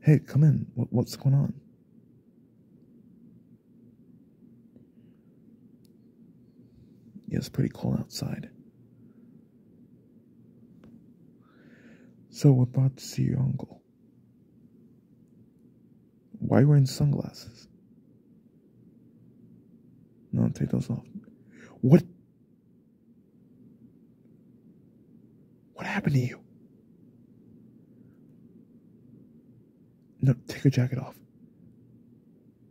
Hey, come in. what's going on? Yeah, it's pretty cold outside. So we're about to see your uncle. Why you wearing sunglasses? No, take those off. What? What happened to you? No, take your jacket off.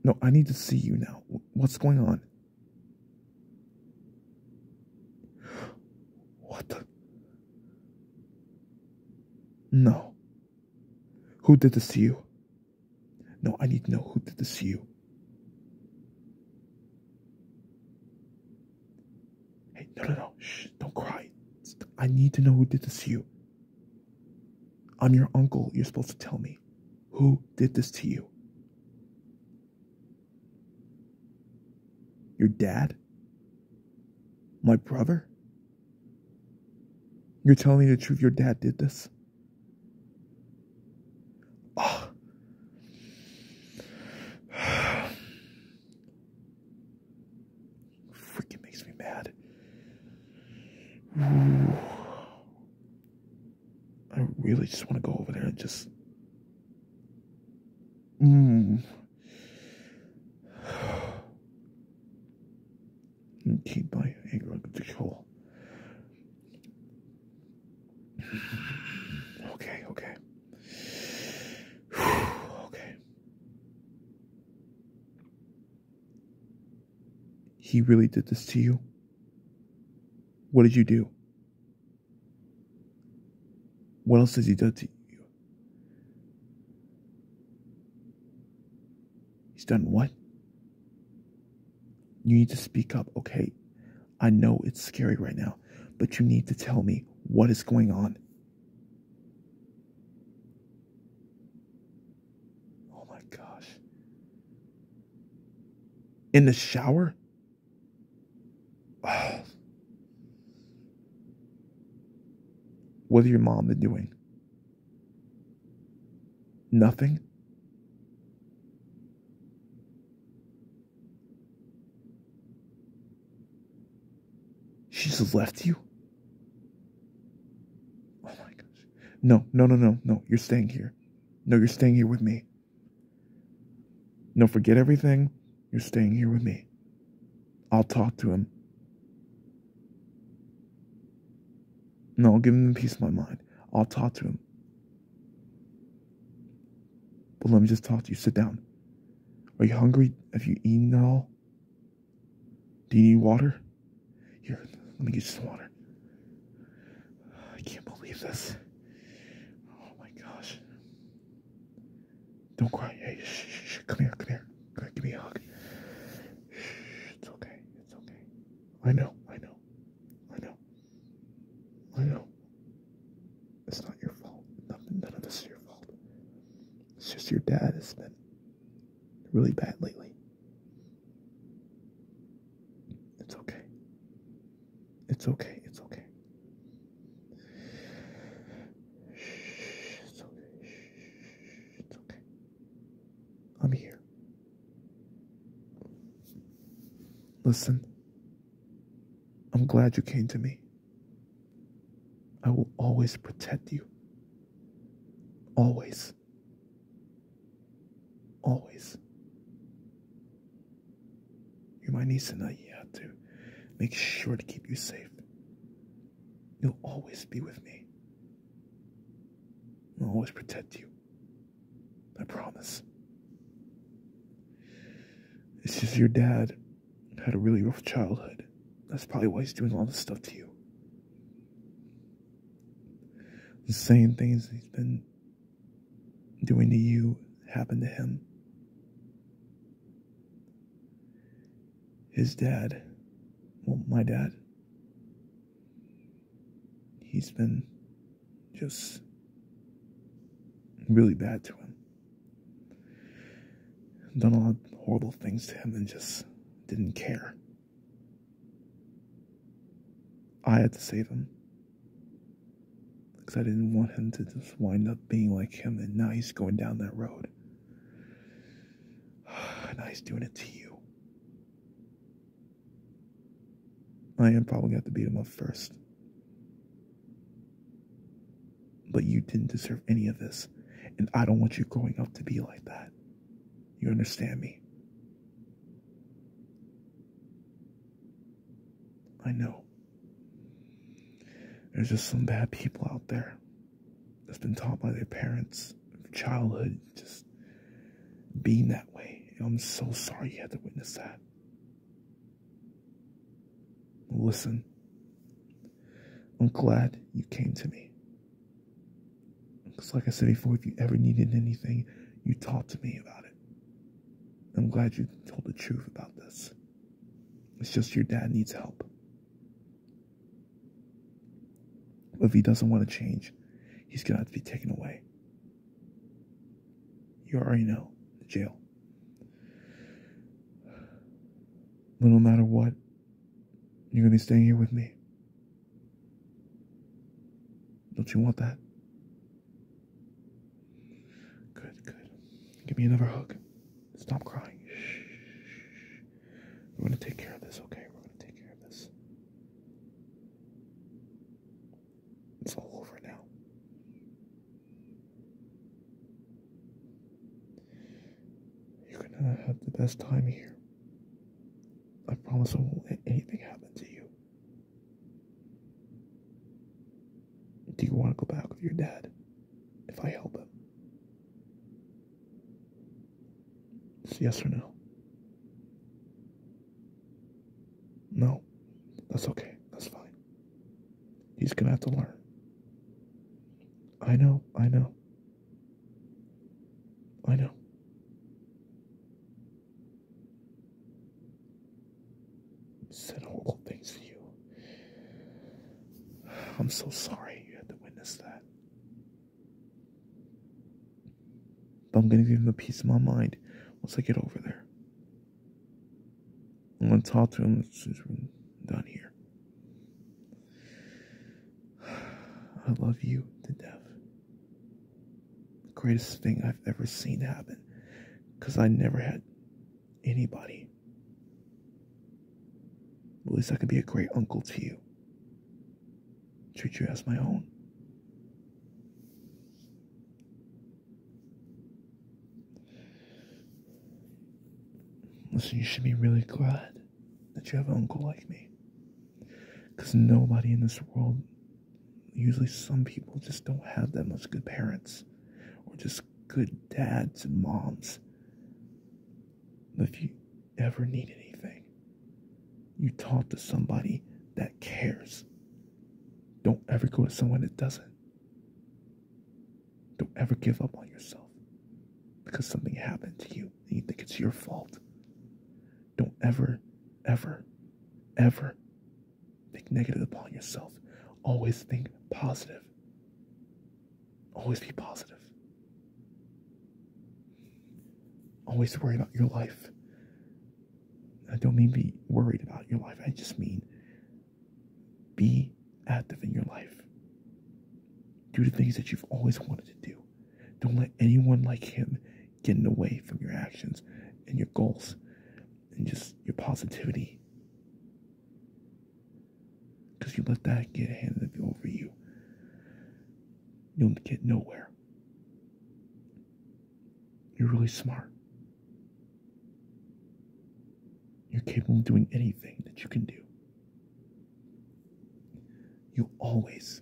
No, I need to see you now. What's going on? What No. Who did this to you? No, I need to know who did this to you. Hey, no, no, no. don't cry. I need to know who did this to you. I'm your uncle. You're supposed to tell me. Who did this to you? Your dad? My brother? You're telling me the truth, your dad did this? Oh. Freaking makes me mad. I really just want to go over there and just. Mm keep my anger under control. Okay, okay. okay. He really did this to you? What did you do? What else has he done to you? He's done what? You need to speak up, okay? I know it's scary right now, but you need to tell me what is going on. Oh my gosh. In the shower? Oh. What is your mom been doing? Nothing? She's left you? Oh my gosh. No, no, no, no, no. You're staying here. No, you're staying here with me. No, forget everything. You're staying here with me. I'll talk to him. No, I'll give him peace of my mind. I'll talk to him. But let me just talk to you. Sit down. Are you hungry? Have you eaten at all? Do you need water? Here, let me get you some water. I can't believe this. Oh my gosh. Don't cry. Hey, shh, shh, Come here, come here. Come here, give me a hug. it's okay, it's okay. I know, I know know. I know. I know. It's not your fault. Nothing, none of this is your fault. It's just your dad has been really bad lately. It's okay. It's okay. It's okay. Shh, it's okay. Shh, it's okay. I'm here. Listen, I'm glad you came to me. I will always protect you. Always. Always. You're my niece and I have to make sure to keep you safe. You'll always be with me. I'll always protect you. I promise. It's just your dad had a really rough childhood. That's probably why he's doing all this stuff to you. The same things he's been doing to you happened to him. His dad, well, my dad, he's been just really bad to him. Done a lot of horrible things to him and just didn't care. I had to save him. Because I didn't want him to just wind up being like him, and now he's going down that road. now he's doing it to you. I am probably gonna have to beat him up first. But you didn't deserve any of this, and I don't want you growing up to be like that. You understand me? I know. There's just some bad people out there that's been taught by their parents, childhood, just being that way. I'm so sorry you had to witness that. Listen, I'm glad you came to me. Because, like I said before, if you ever needed anything, you talked to me about it. I'm glad you told the truth about this. It's just your dad needs help. But if he doesn't want to change, he's going to have to be taken away. You already know the jail. But no matter what, you're gonna be staying here with me. Don't you want that? Good, good. Give me another hug. Stop crying. Shh. We're gonna take care of this, okay? We're gonna take care of this. It's all over now. You're gonna have the best time here. I promise I won't let anything happen to you. Do you want to go back with your dad if I help him? It's yes or no. No, that's okay. That's fine. He's going to have to learn. I know, I know. I know. Said horrible things to you. I'm so sorry you had to witness that. But I'm gonna give him a piece of my mind once I get over there. I'm gonna talk to him since we're done here. I love you to death. The greatest thing I've ever seen happen. Because I never had anybody. At least I can be a great uncle to you treat you as my own. Listen, you should be really glad that you have an uncle like me. Because nobody in this world, usually some people just don't have that much good parents or just good dads and moms. But if you ever need anything, you talk to somebody that cares. Don't ever go to someone that doesn't. Don't ever give up on yourself because something happened to you and you think it's your fault. Don't ever, ever, ever think negative upon yourself. Always think positive. Always be positive always worry about your life. I don't mean be worried about your life, I just mean be active in your life. Do the things that you've always wanted to do. Don't let anyone like him get in the way from your actions and your goals and just your positivity. Because you let that get handed over you, you'll get nowhere. You're really smart. You're capable of doing anything that you can do. You always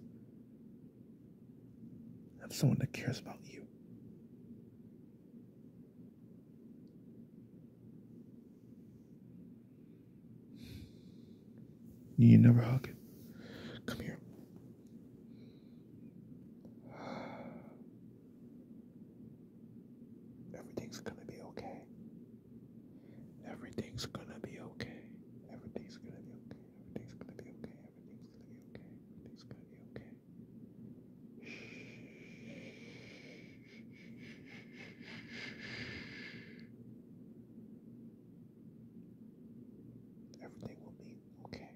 have someone that cares about you. You never hug it. Come here. Everything's gonna be okay. Everything's gonna be okay. Everything's gonna be okay. Everything's gonna be okay. Everything's gonna be okay. Everything's gonna be okay. Everything will be okay?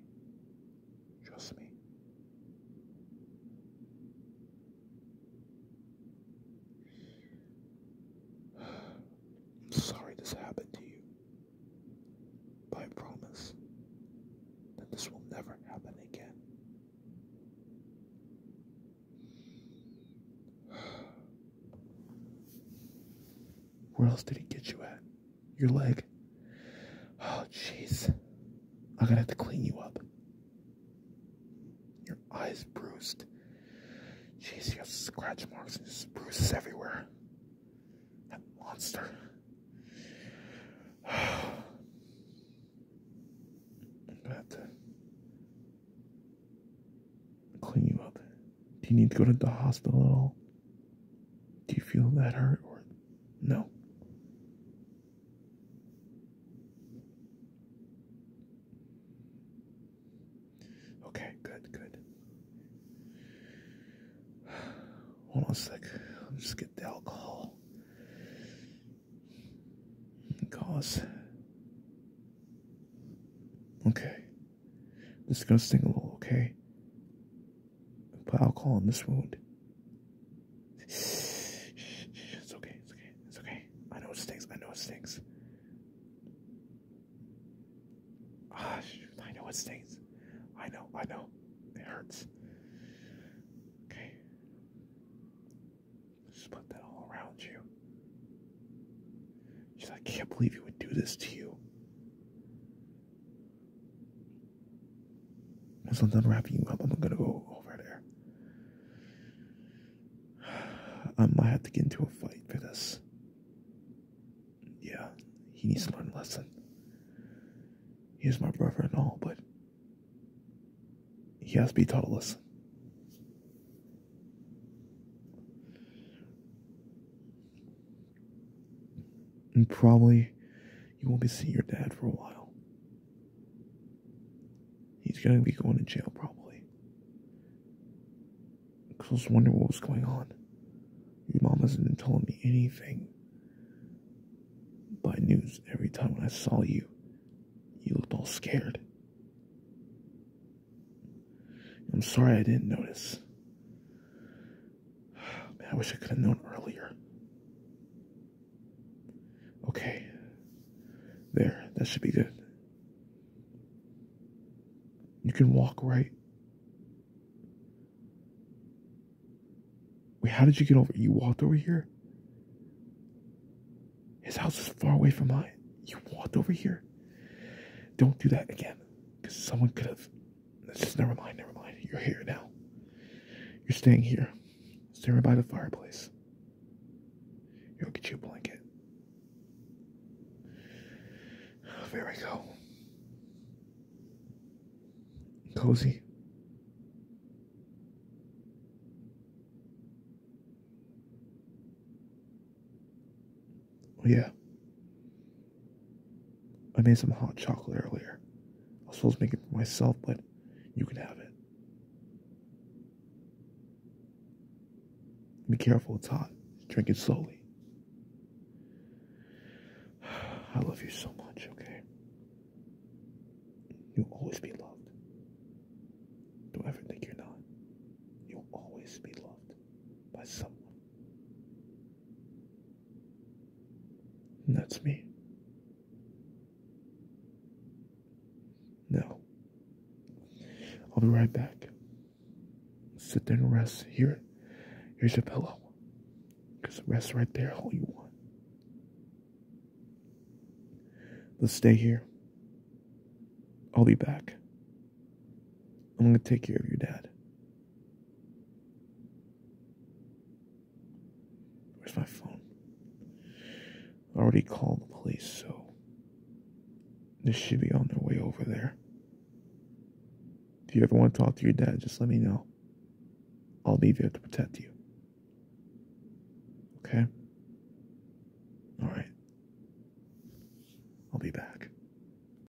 Trust me. I'm sorry this happened to you. But I promise that this will never happen again. Where else did he get you at? your leg. Oh, jeez. I'm gonna have to clean you up. Your eyes bruised. Jeez, you have scratch marks and just bruises everywhere. That monster. I'm gonna have to clean you up do you need to go to the hospital at all? Do you feel that hurt or no? Okay, good, good. Hold on a sec. I'll just get the alcohol. Cause. Okay. This is gonna sting a oh, little, okay? Put alcohol on this wound. It's okay, it's okay, it's okay. I know it stings, I know it stings. Ah, I know it stings. I know, I know. It hurts. Okay. Just put that all around you. I can't believe he would do this to you. Once I'm done wrapping you up, I'm gonna go over there. I might have to get into a fight for this. Yeah, he needs to learn a lesson. He's my brother and all, but he has to be taught a lesson. And probably you won't be seeing your dad for a while. He's gonna be going to jail probably. Cause I was wondering what was going on. Your mom hasn't been telling me anything. By news, every time when I saw you, you looked all scared. I'm sorry I didn't notice. I wish I could have known earlier. Okay. There, that should be good. You can walk right. Wait, how did you get over? You walked over here? His house is far away from mine. You walked over here. Don't do that again. Because someone could have this, never mind, never mind. You're here now. You're staying here. Stay by the fireplace. You'll get you a blanket. There we go. Cozy. Oh, yeah. I made some hot chocolate earlier. I was supposed to make it for myself, but you can have it. Be careful, it's hot. Drink it slowly. I love you so much, okay? You'll always be loved. Don't ever think you're not. You'll always be loved by someone that's me. Now, I'll be right back. Sit there and rest. Here, here's your pillow. Because rest right there all you want. Let's stay here. I'll be back. I'm going to take care of your dad. Where's my phone? I already called the police, so this should be on their way over there. If you ever want to talk to your dad, just let me know. I'll be there to protect you. Okay? Alright. I'll be back.